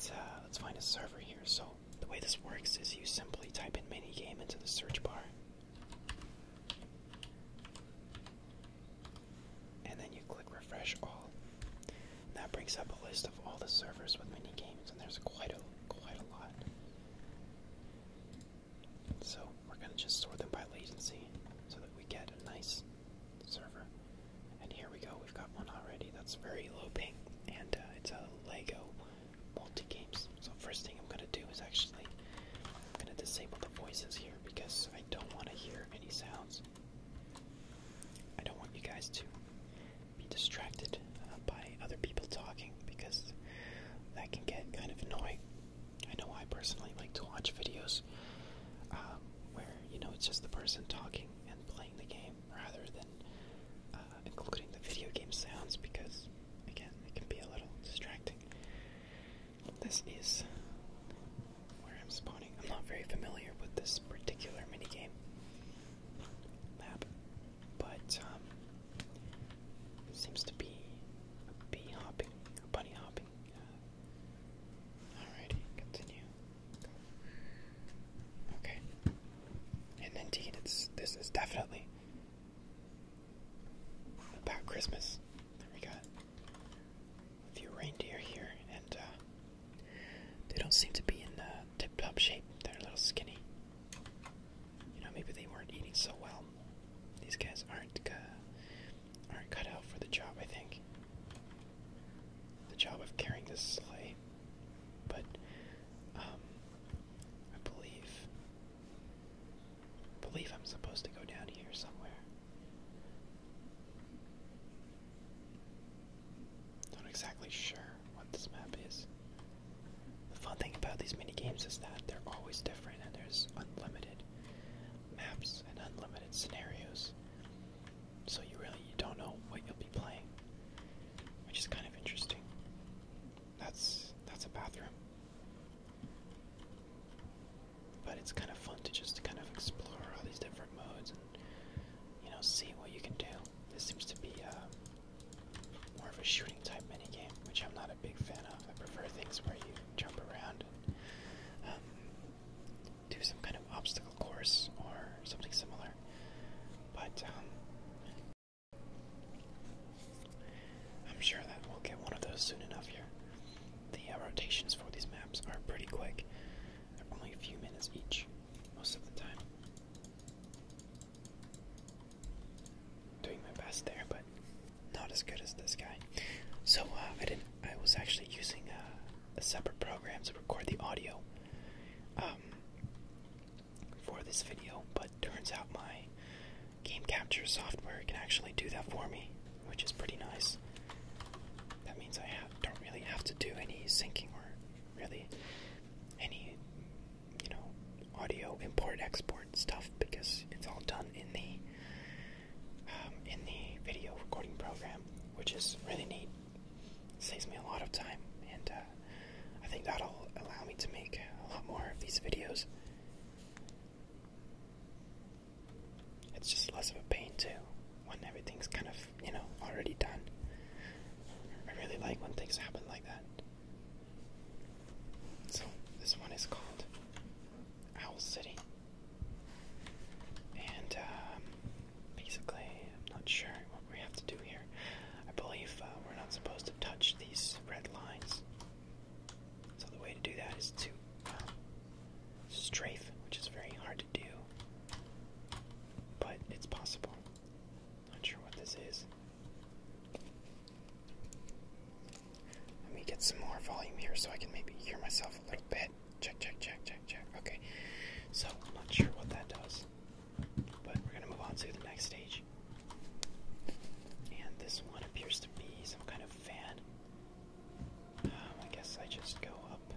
Uh, let's find a server here. So the way this works is you simply type in minigame into the search bar, and then you click refresh all. that brings up a list of all the servers with minigames, and there's quite a quite a lot. So we're gonna just sort them by latency so that we get a nice server. And here we go, we've got one already. That's very low ping, and uh, it's a Lego multi games. So first thing I'm gonna do is actually I'm gonna disable the voices here because I don't want to hear any sounds. I don't want you guys to be distracted uh, by other people talking because that can get kind of annoying. I know I personally like to watch videos um, where you know, it's just the person talking and playing the game rather than uh, including the video game sounds because, again, it can be a little distracting. This is where I'm spawning. I'm not very familiar with this particular minigame map, but um, it seems to be a bee hopping, a bunny hopping uh, Alrighty, continue. Okay. And indeed, it's this is definitely about Christmas. There we got a few reindeer here, and uh, they don't seem to be in tip-top shape. They're a little skinny. You know, maybe they weren't eating so well. These guys aren't uh, are cut out for the job, I think. The job of carrying this sleigh. But, um, I believe. believe I'm supposed to go down here somewhere. Not exactly sure what this map is. The fun thing about these mini games is that they're always different and there's unlimited maps and unlimited scenarios so you really you don't know what you'll be playing, which is kind of interesting. That's that's a bathroom. But it's kind of fun to just kind of explore all these different modes and you know see what you can do. This seems to be a uh, more of a shooting type mini game, which I'm not a big fan of. I prefer things where you jump around um, do some kind of obstacle course or something similar. But um, I'm sure that we'll get one of those soon enough here. The uh, rotations for these maps are pretty quick. They're only a few minutes each, most of the time. Doing my best there, but not as good as this guy. So uh, I didn't I was actually using a, separate program to record the audio um, for this video, but turns out my game capture software can actually do that for me, which is pretty nice. That means I don't really have to do any syncing or really any, you know, audio import export stuff because it's all done in the um, in the video recording program, which is really neat. saves me a lot of time, and uh, I think that'll allow me to make a lot more of these videos. It's just less of a pain too when everything's kind of, you know, already done. I really like when things happen like that. So, this one is called Owl City. And um, basically, I'm not sure what we have to do here. I believe uh, we're not supposed to touch these red lines. So the way to do that is to um, strafe, which is very hard to do, but it's possible. Not sure what this is. Let me get some more volume here so I can maybe hear myself a little bit check, check, check, check, check, Okay, so I'm not sure what that does, but we're gonna move on to the next stage. And this one appears to be some kind of fan. Um, I guess I just go up.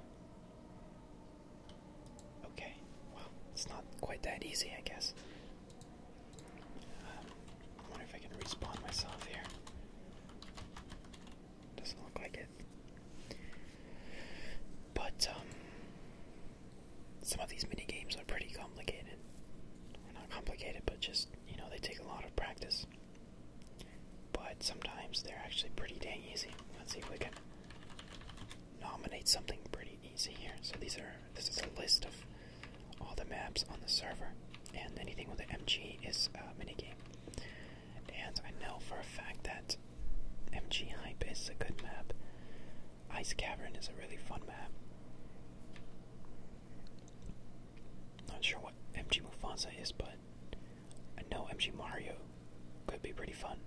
Okay, well, it's not quite that easy, I guess. Um, I wonder if I can respawn myself here. Doesn't look like it. But um, some of these mini games are pretty complicated. Well, not complicated, but just you know they take a lot of practice. But sometimes they're actually pretty dang easy. Let's see if we can nominate something pretty easy here. So these are this is a list of all the maps on the server, and anything with an MG is a mini game and I know for a fact that MG Hype is a good map. Ice Cavern is a really fun map. Not sure what MG Mufasa is, but I know MG Mario could be pretty fun.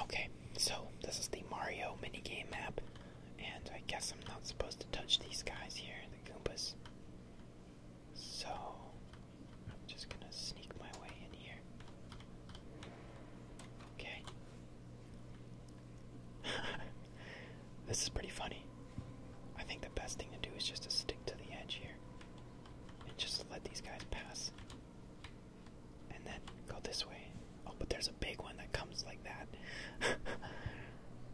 Okay, so this is the Mario minigame map, and I guess I'm not supposed to touch these guys here, the Goombas. So, I'm just gonna sneak my way in here. Okay. this is pretty funny. I think the best thing to do is just to stick to the edge here and just let these guys pass. And then go this way. Oh, but there's a big one that comes like that.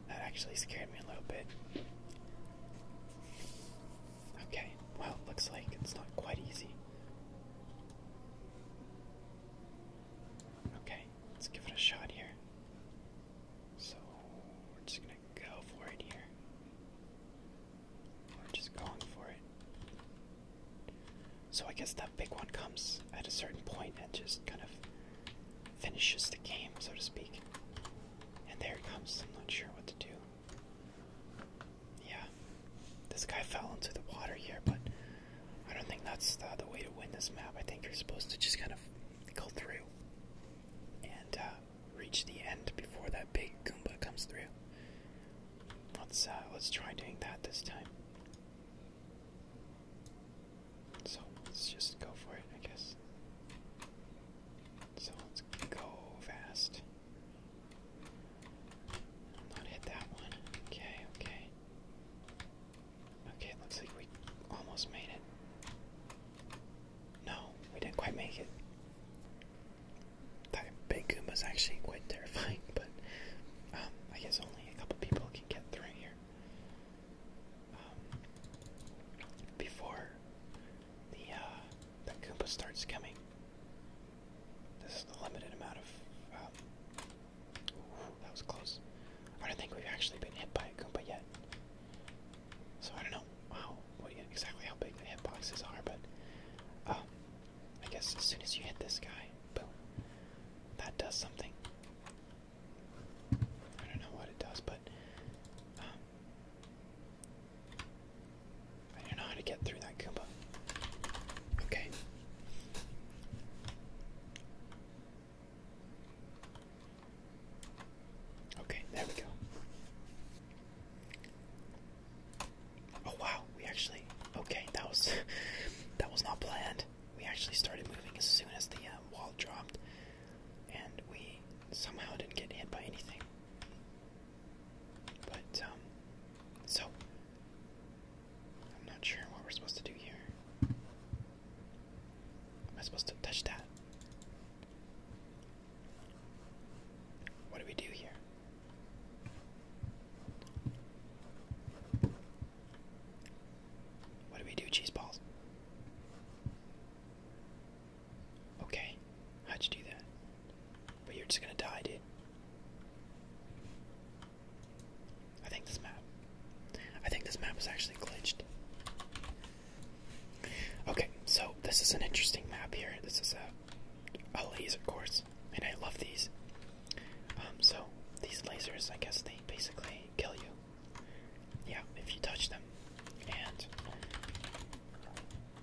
that actually scared me a little bit. Okay, well, looks like it's not quite easy. Okay, let's give it a shot here. So, we're just gonna go for it here. We're just going for it. So, I guess that big one comes at a certain point and just kind of finishes the game, so to speak. And there it comes. I'm not sure what to do. Yeah. This guy fell into the water here, but I don't think that's the, way to win this map. I think you're supposed to just kind of go through and uh, reach the end before that big Goomba comes through. Let's uh, let's try doing that this time. So let's just go for it, I guess. So let's go fast. Not hit that one. Okay, okay. Okay, it looks like we almost made it. No, we didn't quite make it. That big Goomba's actually quite terrifying, but um, I guess only a couple people can get through here. Um, before the uh, Koopa starts coming, this is the limited amount of. Um, that was close. I don't think we've actually been hit by a koopa yet. So I don't know how, what, exactly how big the hit boxes are, but um, I guess as soon as you hit this guy, boom, that does something. I don't know what it does, but um, I don't know how to get through that Goomba. Okay. Okay, there we go. Oh wow, we actually okay, that was that was not planned. We actually started moving as soon as the um, wall dropped and we somehow didn't get hit by anything. But, um, so, I'm not sure what we're supposed to do here. Am I supposed to touch that? What do we do here? What do we do, cheese balls? Okay, how'd you do that? But you're just gonna die, dude. I think this map. I think this map is actually glitched. Okay, so this is an interesting map here. This is a, a laser course, and I love these. Um, so these lasers, I guess they basically kill you. Yeah, if you touch them, and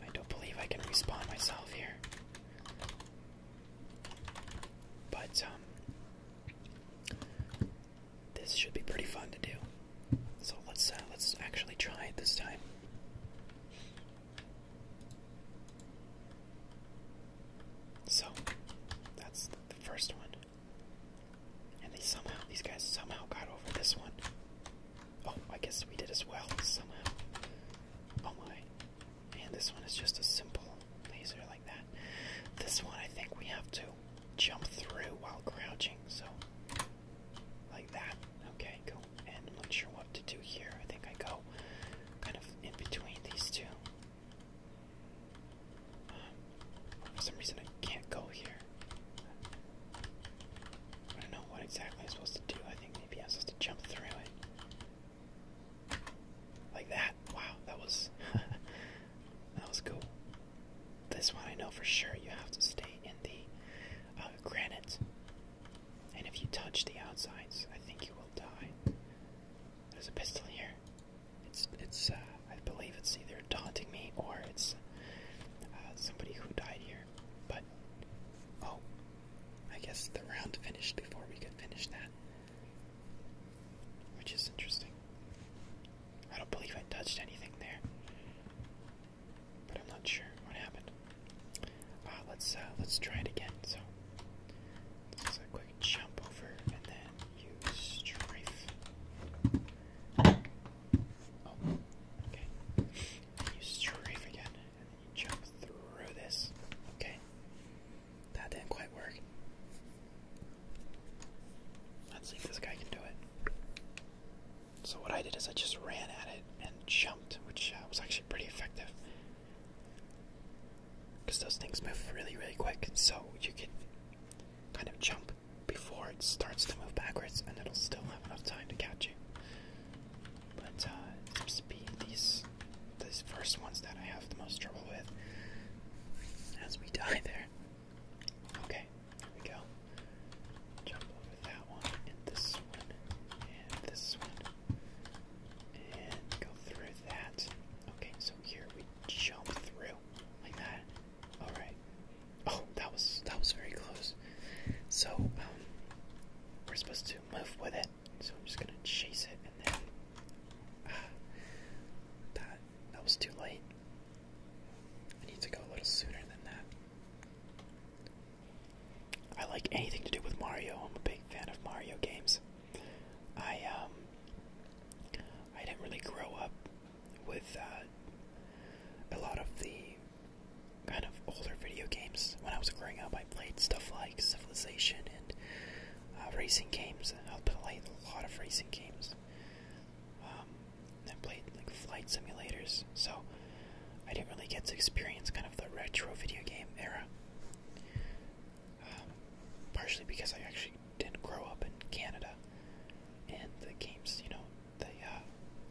I don't believe I can respawn myself here. But, um, this should be pretty fun to do. So let's uh, let's actually try it this time. So that's the first one, and they somehow these guys somehow got over this one. Oh, I guess we did as well somehow. Oh my. And this one is just a simple laser like that. This one I think we have to jump through while crouching, so like that. Okay, cool. And I'm not sure what to do here. I think I go kind of in between these two. Um, for some reason I can't go here. I don't know what exactly I'm supposed to do. I think maybe I'm supposed to jump through it. Like that. Wow, that was that was cool. This one I know for sure you have to stay in the uh, granite. And if you touch the outsides, I think you will die. There's a pistol here. It's it's uh, I believe it's either taunting me or it's uh, somebody who died here. But oh, I guess the round finished before we could finish that. Which is interesting. I don't believe I touched anything there. But I'm not sure what happened. Uh, let's uh, let's try it again. So this a quick jump over and then you strafe. Oh, okay. You strafe again jump through this. Okay. That didn't quite work. Let's see if this guy can do it. So what I did is I just ran at it and jumped, which uh, was actually pretty effective. Because those things move really, really quick, so you can kind of jump before it starts to move backwards, and it'll still have enough time to catch you. But uh, seems to be these these first ones that I have the most trouble with as we die there. Okay, here we go. Jump over that one and this one and this one and go through that. Okay, so here we jump through like that. All right. Oh, that was that was very close. So um, we're supposed to move with it. So I'm just gonna chase it and then that that was too late. I need to go a little sooner than that. I like anything to do with Mario. I'm a big fan of Mario games. I um, I didn't really grow up with uh, a lot of the kind of older video games. When I was growing up, I played stuff like Civilization and uh, racing games. I played a lot of racing games. Um, I played like flight simulators, so I didn't really get to experience kind of the retro video game era. Um, partially because I actually didn't grow up in Canada, and the games, you know, the uh,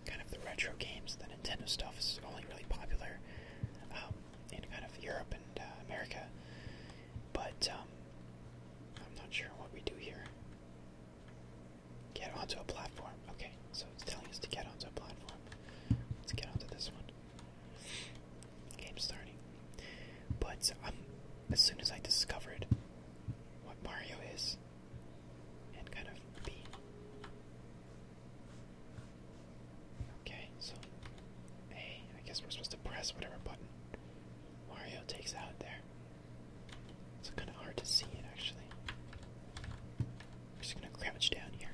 kind of the retro games, the Nintendo stuff is only really popular um, in kind of Europe and uh, America, but um, I'm not sure what we do here. Get onto a platform. Okay, so it's telling us to get onto a platform. Let's get onto this one. Game starting. But um, as soon as I discovered what Mario is, and kind of be Okay, so hey, I guess we're supposed to press whatever button Mario takes out there. It's kind of hard to see it actually. We're just gonna crouch down here.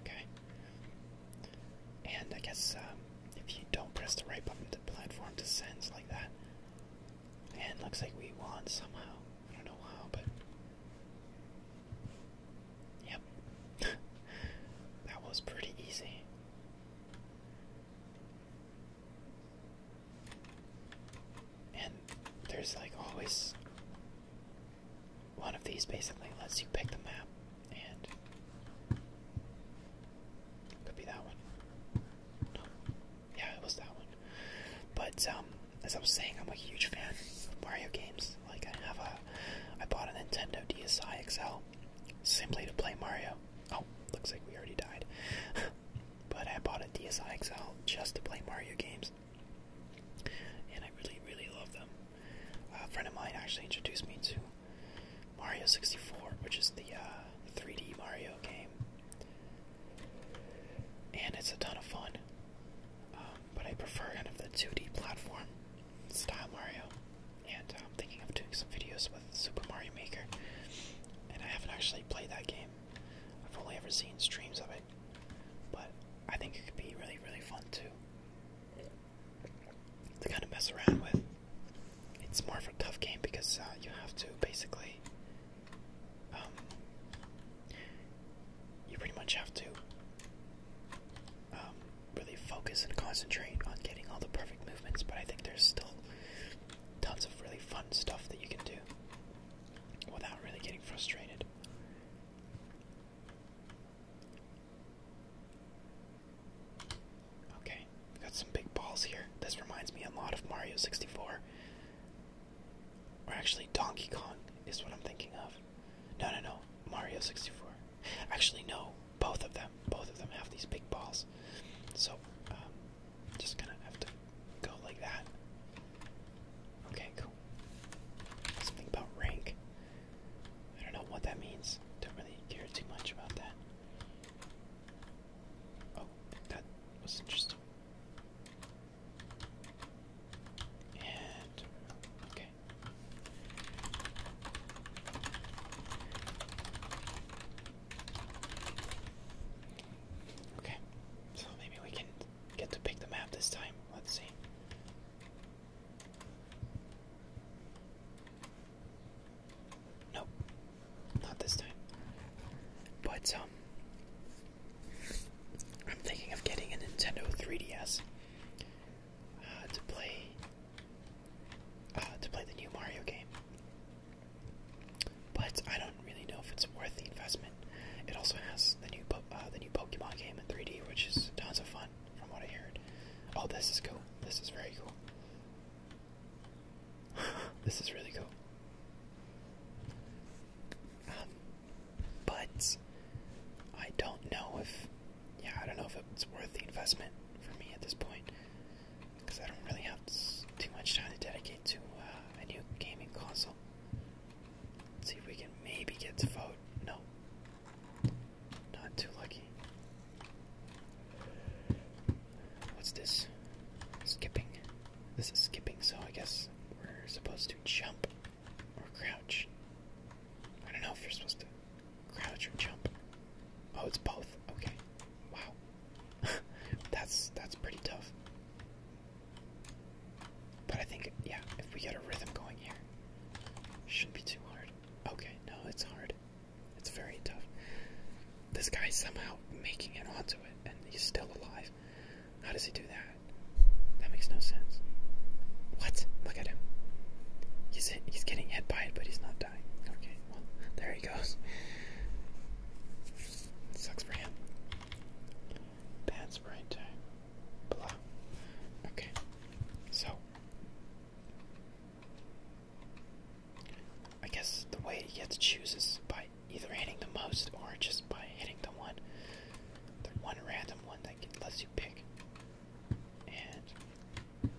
Okay. And I guess um, if you don't press the right button, the platform descends like that. And looks like we won somehow. I don't know how, but yep, that was pretty easy. And there's like always one of these basically lets you pick the map, and could be that one. yeah, it was that one. But um, as I was saying, I'm a huge fan of Mario games. Like I have a, I bought a Nintendo DSi XL simply to play Mario. Oh, looks like we already died. but I bought a DSi XL just to play Mario games, and I really, really love them. A friend of mine actually introduced me to Mario 64, which is the 3D uh, Mario game, and it's a ton of fun. Um, but I prefer kind of the 2D platform style Mario. And uh, I'm thinking of doing some videos with Super Mario Maker. And I haven't actually played that game. I've only ever seen streams of it. But I think it could be really, really fun too. To kind of mess around with. It's more of a tough game because uh, you have to basically um, you pretty much have to um, really focus and concentrate on getting all the perfect movements, but I think there's still tons of really fun stuff that you can do without really getting frustrated. Okay, got some big balls here. This reminds me a lot of Mario 64. Or actually, Donkey Kong is what I'm thinking of. No, no, no. Mario 64. Actually, no. Both of them. Both of them have these big balls. So, um, just gonna have to go like that. Okay, cool. Something about rank. I don't know what that means. Don't really care too much about that. Oh, that was interesting okay. Okay. So maybe we can get to pick the map this time. Let's see. Nope. Not this time. But um I'm thinking of getting a Nintendo 3DS uh, to play uh, to play the new Mario game. But I don't really know if it's worth the investment. It also has the new uh, the new Pokemon game in 3D, which is tons of fun from what I heard. Oh, this is cool. This is very cool. this is really cool. Um, but I don't know if, yeah, I don't know if it's worth the investment for me at this point because I don't really have too much time to dedicate to uh, a new gaming console. Let's see if we can maybe get to vote. No, not too lucky. What's this? Skipping. This is skipping, so I guess we're supposed to jump. Or crouch. I don't know if you're supposed to crouch or jump. Oh, it's both. Okay. Wow. that's that's pretty tough. But I think yeah, if we get a rhythm going here, shouldn't be too hard. Okay, no, it's hard. It's very tough. This guy's somehow making it onto it, and he's still alive. How does he do that? That makes no sense. What? Look at him. He's he's getting hit by it, but he's not dying. Okay, there he goes. Sucks for him. Bad sprint time. Blah. Okay. So I guess the way he gets to choose is by either hitting the most or just by hitting the one the one random one one that you pick. And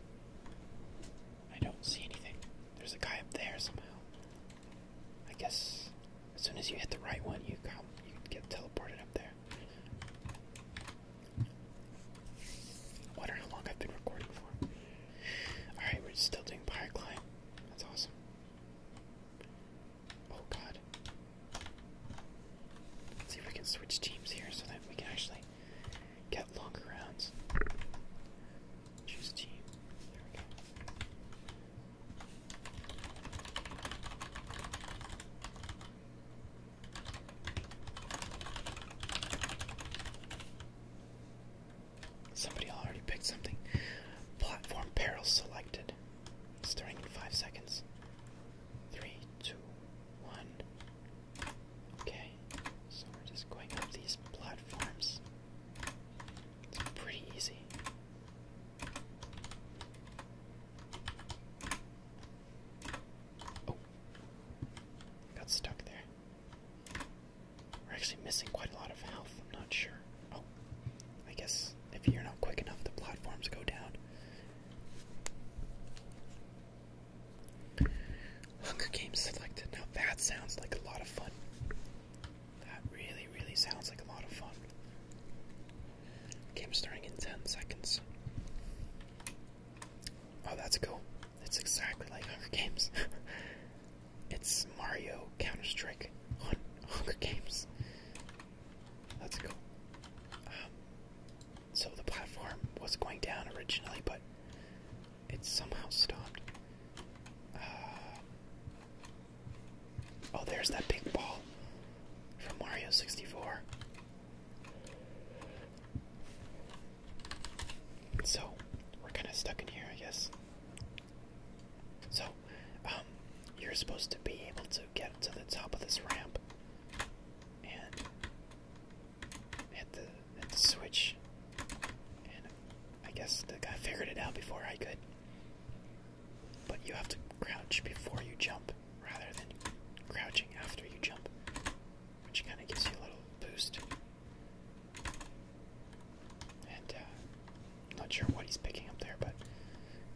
I don't see anything. There's a guy up there somehow. I guess as soon as you hit the right one, you get teleported up there. I wonder how long I've been recording for. Alright, we're still doing pyre That's awesome. Oh god. Let's see if we can switch teams here so that we can actually get longer rounds. Choose team. Somebody already picked something. Platform peril selected. Starting in five seconds three, two, one. Okay, so we're just going up these platforms. It's pretty easy. Oh, got stuck there. We're actually missing quite a lot of health, I'm not sure. Oh, I guess if you're not quick enough, the platforms go down. Hunger Games selected. Now that sounds like a lot of fun. That really, really sounds like a lot of fun. Game starting in 10 seconds. Oh, that's cool. It's exactly like Hunger Games. it's Mario Counter Strike on Hunger Games. That's cool. Um, so the platform was going down originally, but it somehow stopped. Uh, oh, there's that big ball from Mario 64. So, we're kind of stuck in here, I guess. So, um, you're supposed to be able to get to the top of this ramp and hit the, switch. I guess the guy figured it out before I could. But you have to crouch before you jump rather than crouching after you jump, which kind of gives you a little boost. And uh, not sure what he's picking up there, but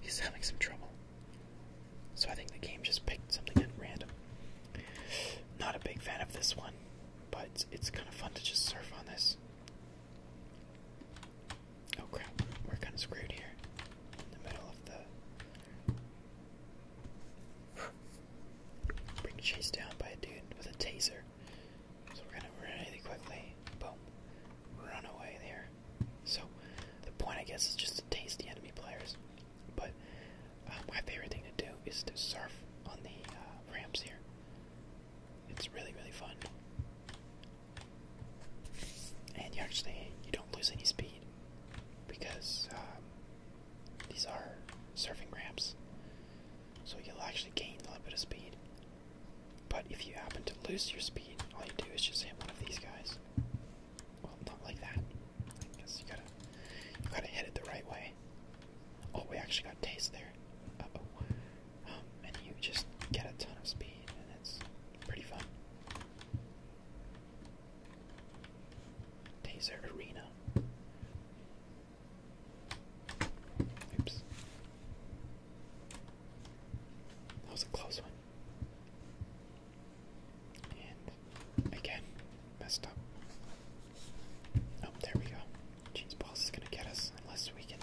he's having some trouble. So I think the game just picked something at random. Not a big fan of this one, but it's, kind of fun to just surf on this. Oh crap, we're kind of screwed here in the middle of the. Being chased down by a dude with a taser. So we're gonna really quickly, boom, run away there. So the point, I guess, is just to taste the enemy players. But uh, my favorite thing to do is to surf on the uh, ramps here. It's really, really fun. And you actually you don't lose any speed because um, these are surfing ramps, so you'll actually gain a little bit of speed. But if you happen to lose your speed, all you do is just hit one of these guys, well, not like that. guess you gotta, you gotta hit it the right way. Oh, we actually got taste there. oh. and you just get a ton of speed, and it's pretty fun. Taser Arena. Oops. That was a close one. And again, messed up. Oh, there we go. Jeans balls is gonna get us unless we can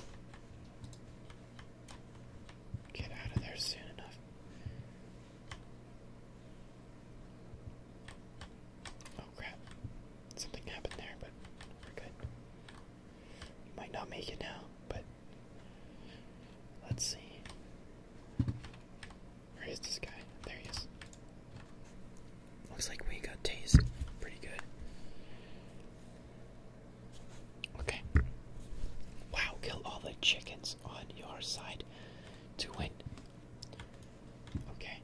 get out of there soon enough. Oh crap. Something happened there, but we're good. might not make it now, but Let's see. Where is this guy? There he is. Looks like we got tased pretty good. Okay. Wow, kill all the chickens on your side to win. Okay.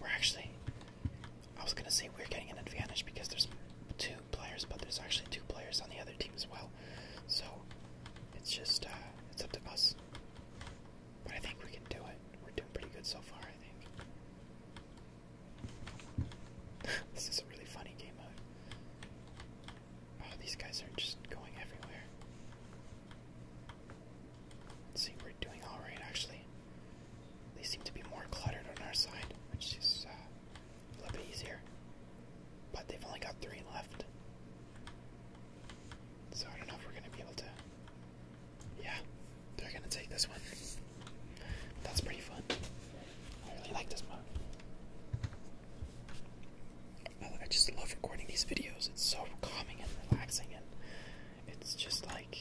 We're actually. I was gonna say we're getting an advantage because there's two two players, but there's actually two players on the other team as well. So it's just uh, it's up to us. But I think we can do it. We're doing pretty good so far, I think. this is a really funny game mode. Oh, these guys are just going everywhere. Let's see, we're doing alright actually. They seem to be more cluttered on our side, which is uh, a little bit easier. But they've only got three left. So I don't know if we're going to be able to. Yeah, they're going to take this one. That's pretty fun. I really like this mode. I just love recording these videos. It's so calming and relaxing, and it's just like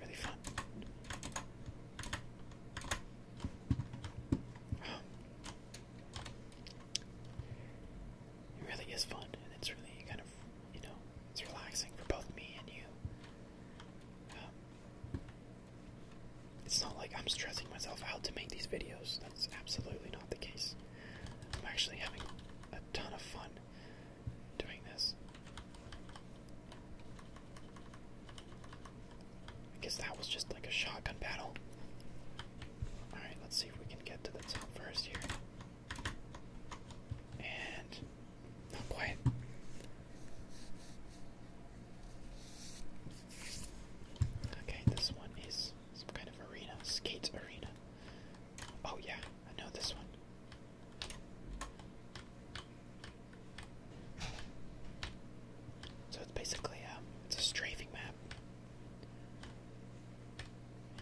really fun. Um, it really is fun, and it's really kind of, you know, it's relaxing for both me and you. Um, it's not like I'm stressing myself out to make these videos. That's absolutely not the case. I'm actually having a ton of fun doing this. I guess that was just like a shotgun battle. Alright, let's see if we can get to the top first here. And. Not quite. Okay, this one is some kind of arena, skate arena. Oh, yeah, I know this one. So it's basically um, it's a strafing map.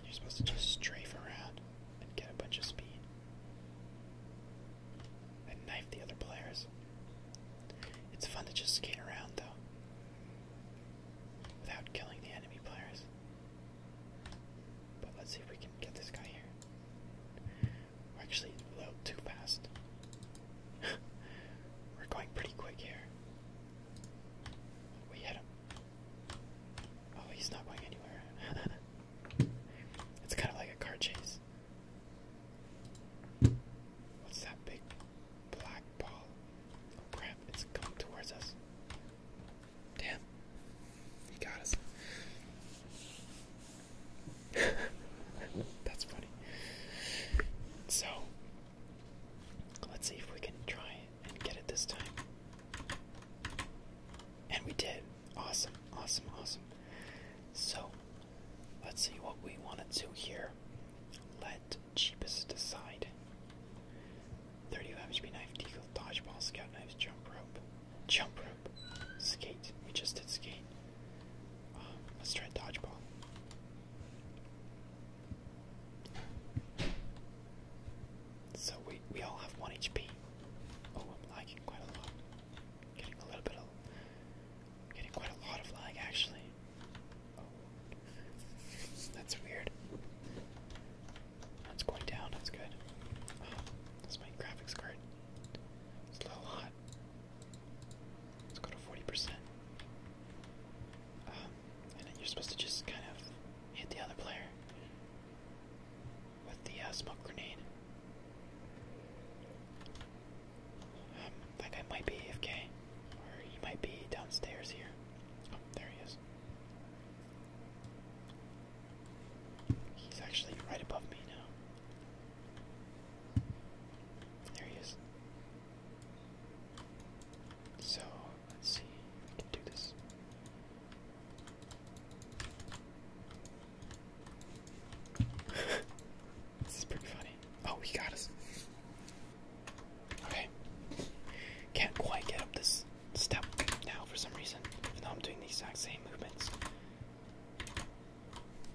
you're supposed to just strafe around and get a bunch of speed. And knife the other players. It's fun to just skate around though. Without killing the enemy players. But let's see if we can get this guy here. We're actually low too fast. We're going pretty quick here. We hit him. Oh, he's not going anywhere. it's kind of like a car chase. What's that big black ball? Oh it's coming towards us. Damn. He got us. That's funny. So, Let's see if we can try and get it this time. And we did. Awesome, awesome, awesome. So, let's see what we want to do here. Let cheapest decide. 35 HP knife, deagle, dodgeball, scout knives, jump rope, jump rope, skate. We just did skate. Um, let's try dodgeball. So we we all have one HP. Oh, I'm lagging quite a lot. Getting a little bit of getting quite a lot of lag actually. Oh. That's weird. That's going down, that's good. Oh, that's my graphics card. a little hot. Let's go to forty percent. Um, and then you're supposed to just kind of hit the other player with the uh, smoke grenade. Um, that guy might be AFK, or he might be downstairs here. Oh, there he is. He's actually right above me now. There he is. So let's see, can do this. this is pretty funny. Oh, he got us. Okay. Can't quite get up this step now for some reason, even though I'm doing the exact same movements.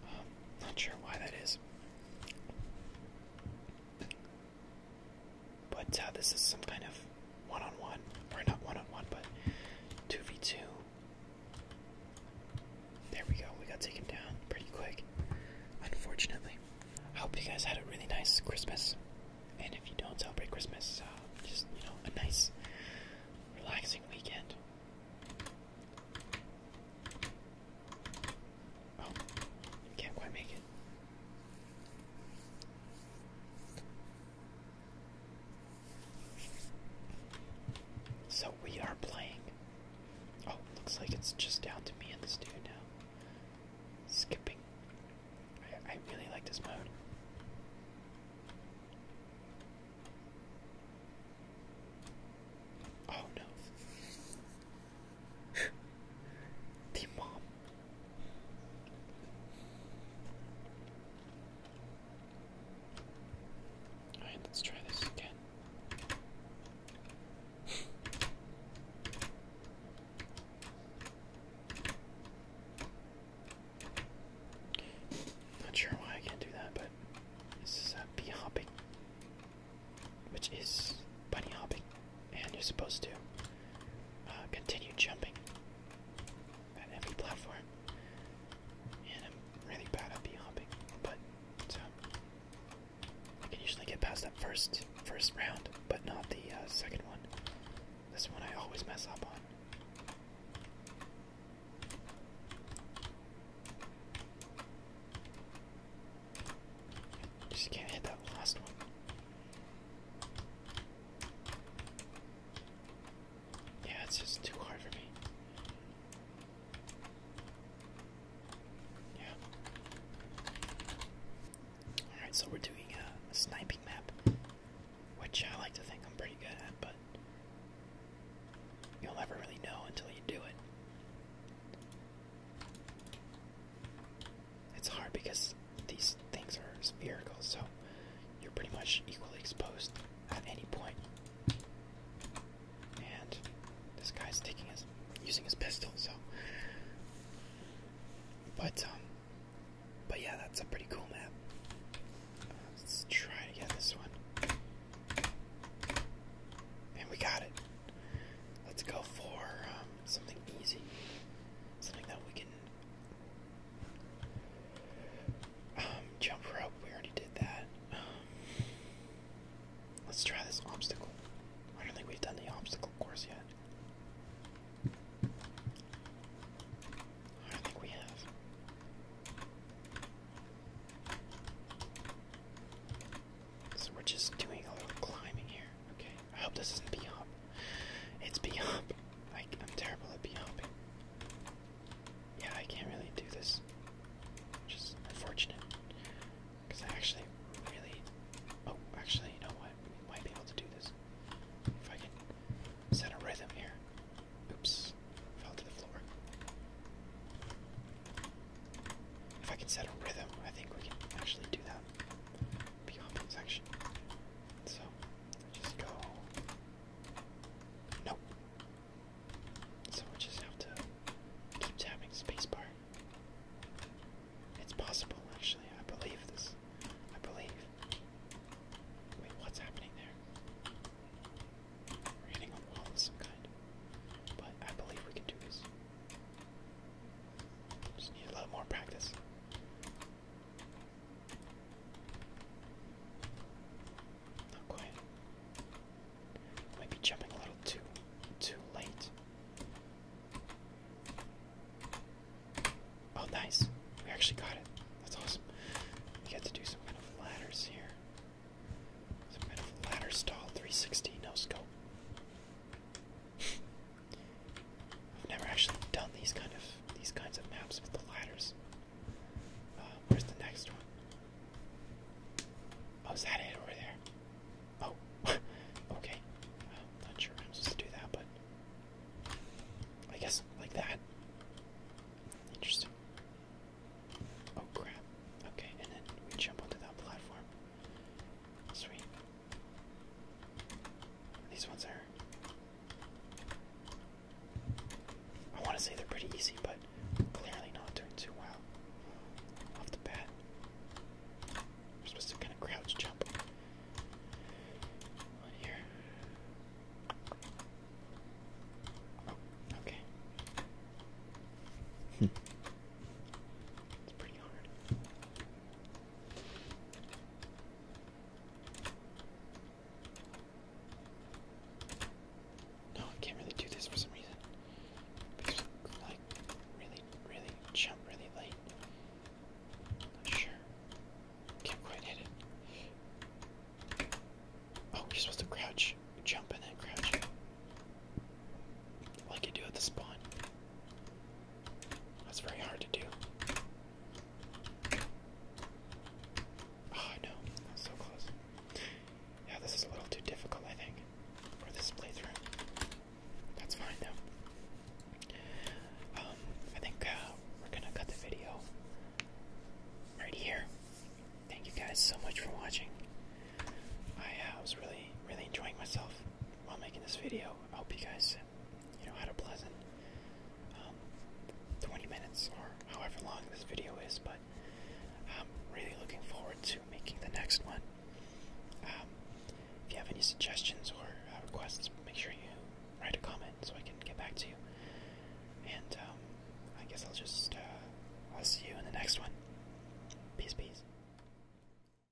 Um, not sure why that is. But uh, this is some kind of one on one, or not one on one, but 2v2. There we go, we got taken down pretty quick, unfortunately. I hope you guys had a really nice Christmas, and if you don't celebrate Christmas, uh, just, you know, a nice, relaxing weekend. Oh, can't quite make it. So we are playing. Oh, looks like it's just down to me and this dude now. Skipping. I, really like this mode. Oh no the mom. Alright, let's try this again. Not sure why I can't do that, but this is a hopping which is bunny hopping, and you're supposed to uh, continue jumping on every platform. And I'm really bad at bunny hopping, but I can usually get past that first first round, but not the uh, second one. This one I always mess up on. Just can't hit that last one. Yeah, it's just too hard for me. Yeah. Alright, so we're doing a, a sniping map, which I like to think I'm pretty good at, but you'll never really know until you do it. It's hard because these things are spherical, so you're pretty much equally exposed at any point. And this guy's taking his using his pistol, so but um but yeah that's a pretty cool map. let's try to get this one. And we got it. Let's go for um something easy, something that we can um, jump rope. We already did that. Um, let's try this obstacle. I don't think we've done the obstacle course yet. I think we have. So we're just doing a little climbing here, okay. I hope this isn't bhop. It's bhop. I, am terrible at bee Yeah, I can't really do this. Which is unfortunate. Because I actually really. Oh, actually, you know what? We might be able to do this. If I can set a rhythm here. Oops. Fell to the floor. If I can set a rhythm, I think we can actually do that the offense section. So just go. Nope. So we just have to keep tapping spacebar. It's possible, actually. I believe this. I believe. Wait, what's happening there? We're hitting a wall of some kind. But I believe we can do this. Just need a lot more practice. Not quite. Might be jumping a little too too late. Oh nice. We actually got it. That's awesome. We got to do some kind of ladders here. Some kind of ladder stall 360 no scope. I've never actually done these kind of these kinds of maps with the ladders. Uh, where's the next one? Oh, is that it over there? Oh, okay. not sure I'm supposed to do that, but I guess like that. Interesting. Oh crap. Okay, and then we jump onto that platform. Sweet. These ones are. I want to say they're pretty easy, but clearly not doing too well off the bat. I'm supposed to kind of crouch jump here. Oh, okay. Hmm. it's pretty hard. No, I can't really do this for some reason. Because like really, really jump really late. Not sure. Can't quite hit it. Oh, you're supposed to crouch, jump, and then crouch. Like you do at the spawn. That's very hard to do. Oh no, so close. Yeah, this is a little too difficult, I think, for this playthrough. That's fine though. Um, I think uh, we're gonna cut the video right here. Thank you guys so much for watching. I uh, was really, really enjoying myself while making this video. I hope you guys, you know, had a pleasant um, 20 minutes or however long this video is. But I'm really looking forward to making the next one. Um, if you have any suggestions or uh, requests, make sure you write a comment so I can get back to you. And um, I guess I'll just uh, I'll see you in the next one. Peace, peace.